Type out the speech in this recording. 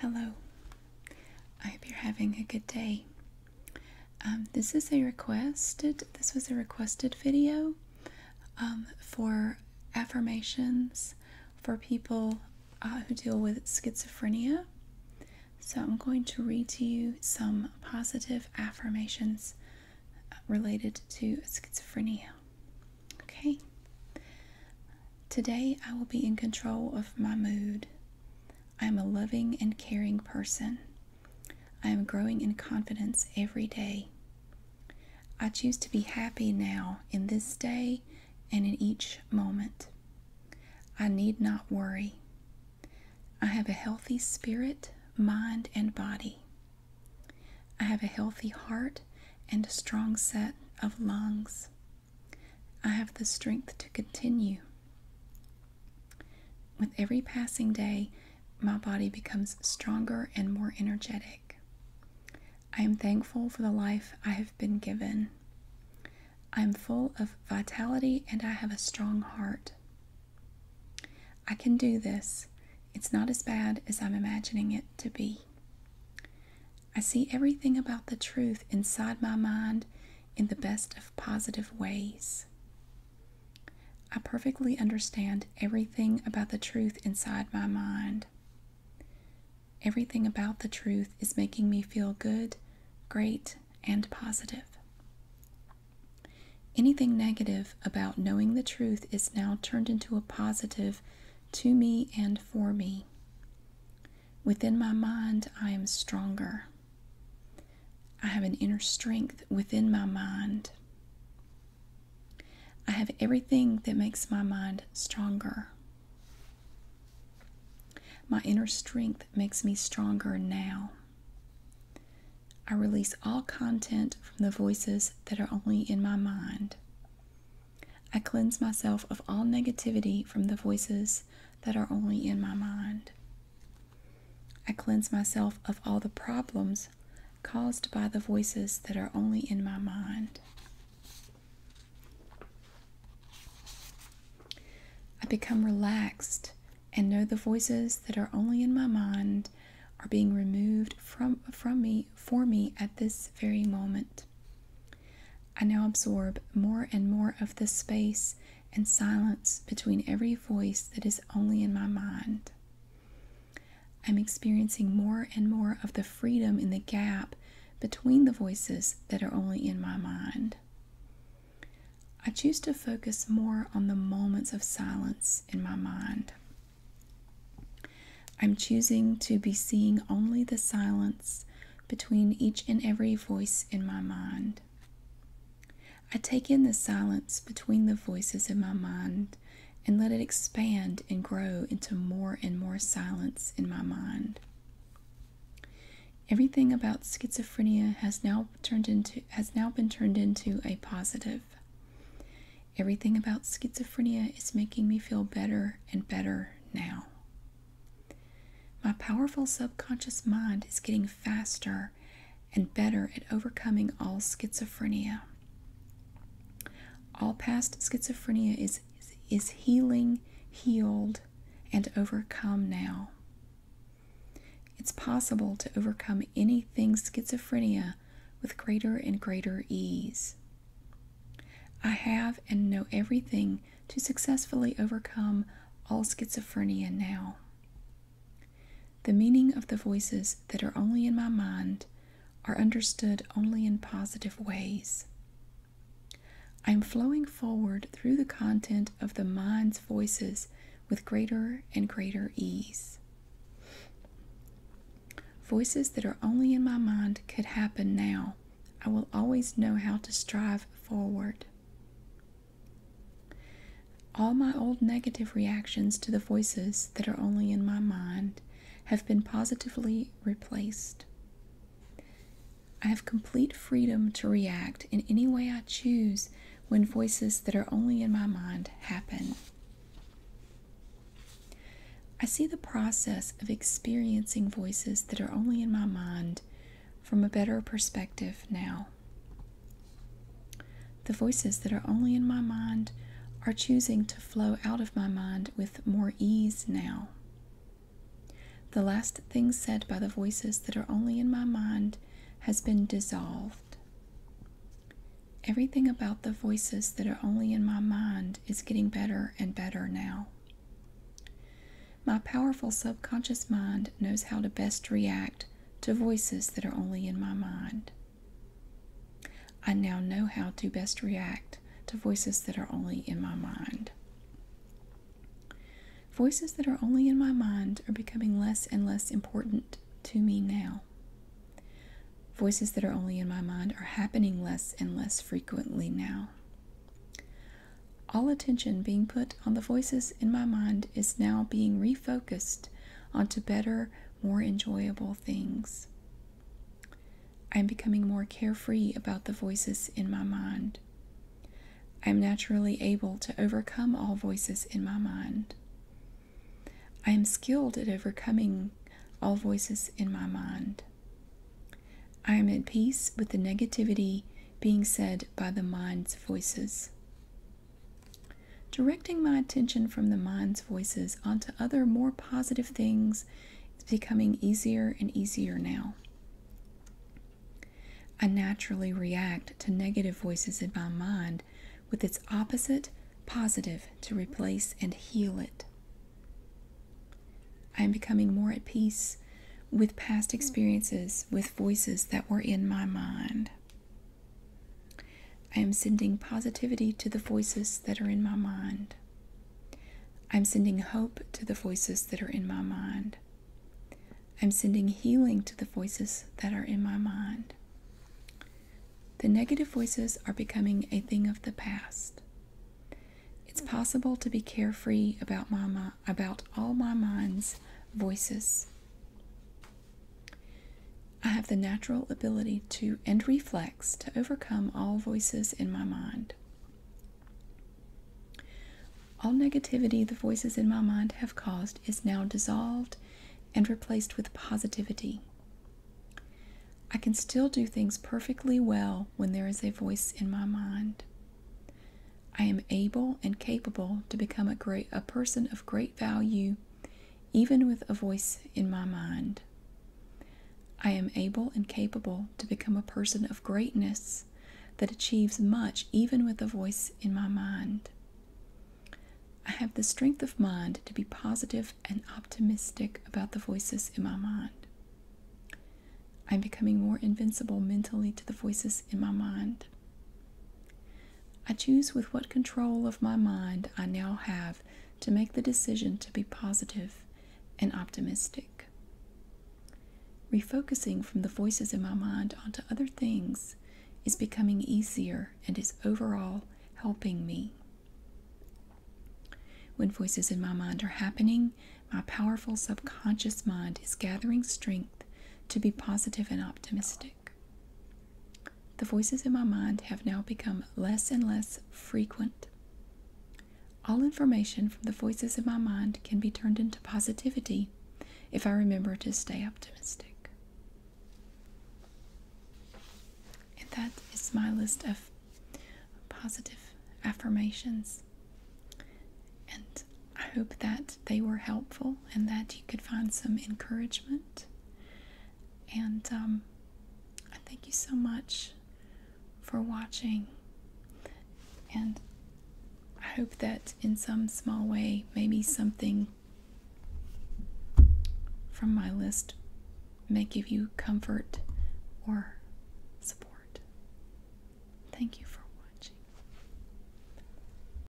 Hello, I hope you're having a good day. Um, this is a requested, this was a requested video um, for affirmations for people uh, who deal with schizophrenia. So I'm going to read to you some positive affirmations uh, related to schizophrenia. Okay. Today I will be in control of my mood. I am a loving and caring person. I am growing in confidence every day. I choose to be happy now in this day and in each moment. I need not worry. I have a healthy spirit, mind, and body. I have a healthy heart and a strong set of lungs. I have the strength to continue. With every passing day, my body becomes stronger and more energetic. I am thankful for the life I have been given. I am full of vitality and I have a strong heart. I can do this it's not as bad as I'm imagining it to be. I see everything about the truth inside my mind in the best of positive ways. I perfectly understand everything about the truth inside my mind. Everything about the truth is making me feel good, great, and positive. Anything negative about knowing the truth is now turned into a positive to me and for me. Within my mind, I am stronger. I have an inner strength within my mind. I have everything that makes my mind stronger. My inner strength makes me stronger now. I release all content from the voices that are only in my mind. I cleanse myself of all negativity from the voices that are only in my mind. I cleanse myself of all the problems caused by the voices that are only in my mind. I become relaxed and know the voices that are only in my mind are being removed from from me for me at this very moment. I now absorb more and more of the space and silence between every voice that is only in my mind. I'm experiencing more and more of the freedom in the gap between the voices that are only in my mind. I choose to focus more on the moments of silence in my mind. I'm choosing to be seeing only the silence between each and every voice in my mind. I take in the silence between the voices in my mind and let it expand and grow into more and more silence in my mind. Everything about schizophrenia has now turned into has now been turned into a positive. Everything about schizophrenia is making me feel better and better now. My powerful subconscious mind is getting faster and better at overcoming all schizophrenia. All past schizophrenia is is healing, healed, and overcome now. It's possible to overcome anything schizophrenia with greater and greater ease. I have and know everything to successfully overcome all schizophrenia now. The meaning of the voices that are only in my mind are understood only in positive ways. I'm flowing forward through the content of the mind's voices with greater and greater ease. Voices that are only in my mind could happen now. I will always know how to strive forward. All my old negative reactions to the voices that are only in my mind have been positively replaced. I have complete freedom to react in any way I choose when voices that are only in my mind happen. I see the process of experiencing voices that are only in my mind from a better perspective now. The voices that are only in my mind are choosing to flow out of my mind with more ease now. The last thing said by the voices that are only in my mind has been dissolved. Everything about the voices that are only in my mind is getting better and better now. My powerful subconscious mind knows how to best react to voices that are only in my mind. I now know how to best react to voices that are only in my mind. Voices that are only in my mind are becoming less and less important to me now. Voices that are only in my mind are happening less and less frequently now. All attention being put on the voices in my mind is now being refocused onto better, more enjoyable things. I'm becoming more carefree about the voices in my mind. I'm naturally able to overcome all voices in my mind. I am skilled at overcoming all voices in my mind. I am at peace with the negativity being said by the mind's voices. Directing my attention from the mind's voices onto other more positive things it's becoming easier and easier now. I naturally react to negative voices in my mind with its opposite positive to replace and heal it. I am becoming more at peace with past experiences, with voices that were in my mind. I am sending positivity to the voices that are in my mind. I'm sending hope to the voices that are in my mind. I'm sending healing to the voices that are in my mind. The negative voices are becoming a thing of the past. It's possible to be carefree about my about all my mind's voices. I have the natural ability to and reflex to overcome all voices in my mind. All negativity the voices in my mind have caused is now dissolved and replaced with positivity. I can still do things perfectly well when there is a voice in my mind. I am able and capable to become a great a person of great value even with a voice in my mind. I am able and capable to become a person of greatness that achieves much, even with a voice in my mind. I have the strength of mind to be positive and optimistic about the voices in my mind. I'm becoming more invincible mentally to the voices in my mind. I choose with what control of my mind I now have to make the decision to be positive and optimistic. Refocusing from the voices in my mind onto other things is becoming easier and is overall helping me. When voices in my mind are happening, my powerful subconscious mind is gathering strength to be positive and optimistic. The voices in my mind have now become less and less frequent. All information from the voices in my mind can be turned into positivity if I remember to stay optimistic. And that is my list of positive affirmations. And I hope that they were helpful and that you could find some encouragement and um, thank you so much for watching. And I hope that in some small way, maybe something from my list may give you comfort or support. Thank you for watching.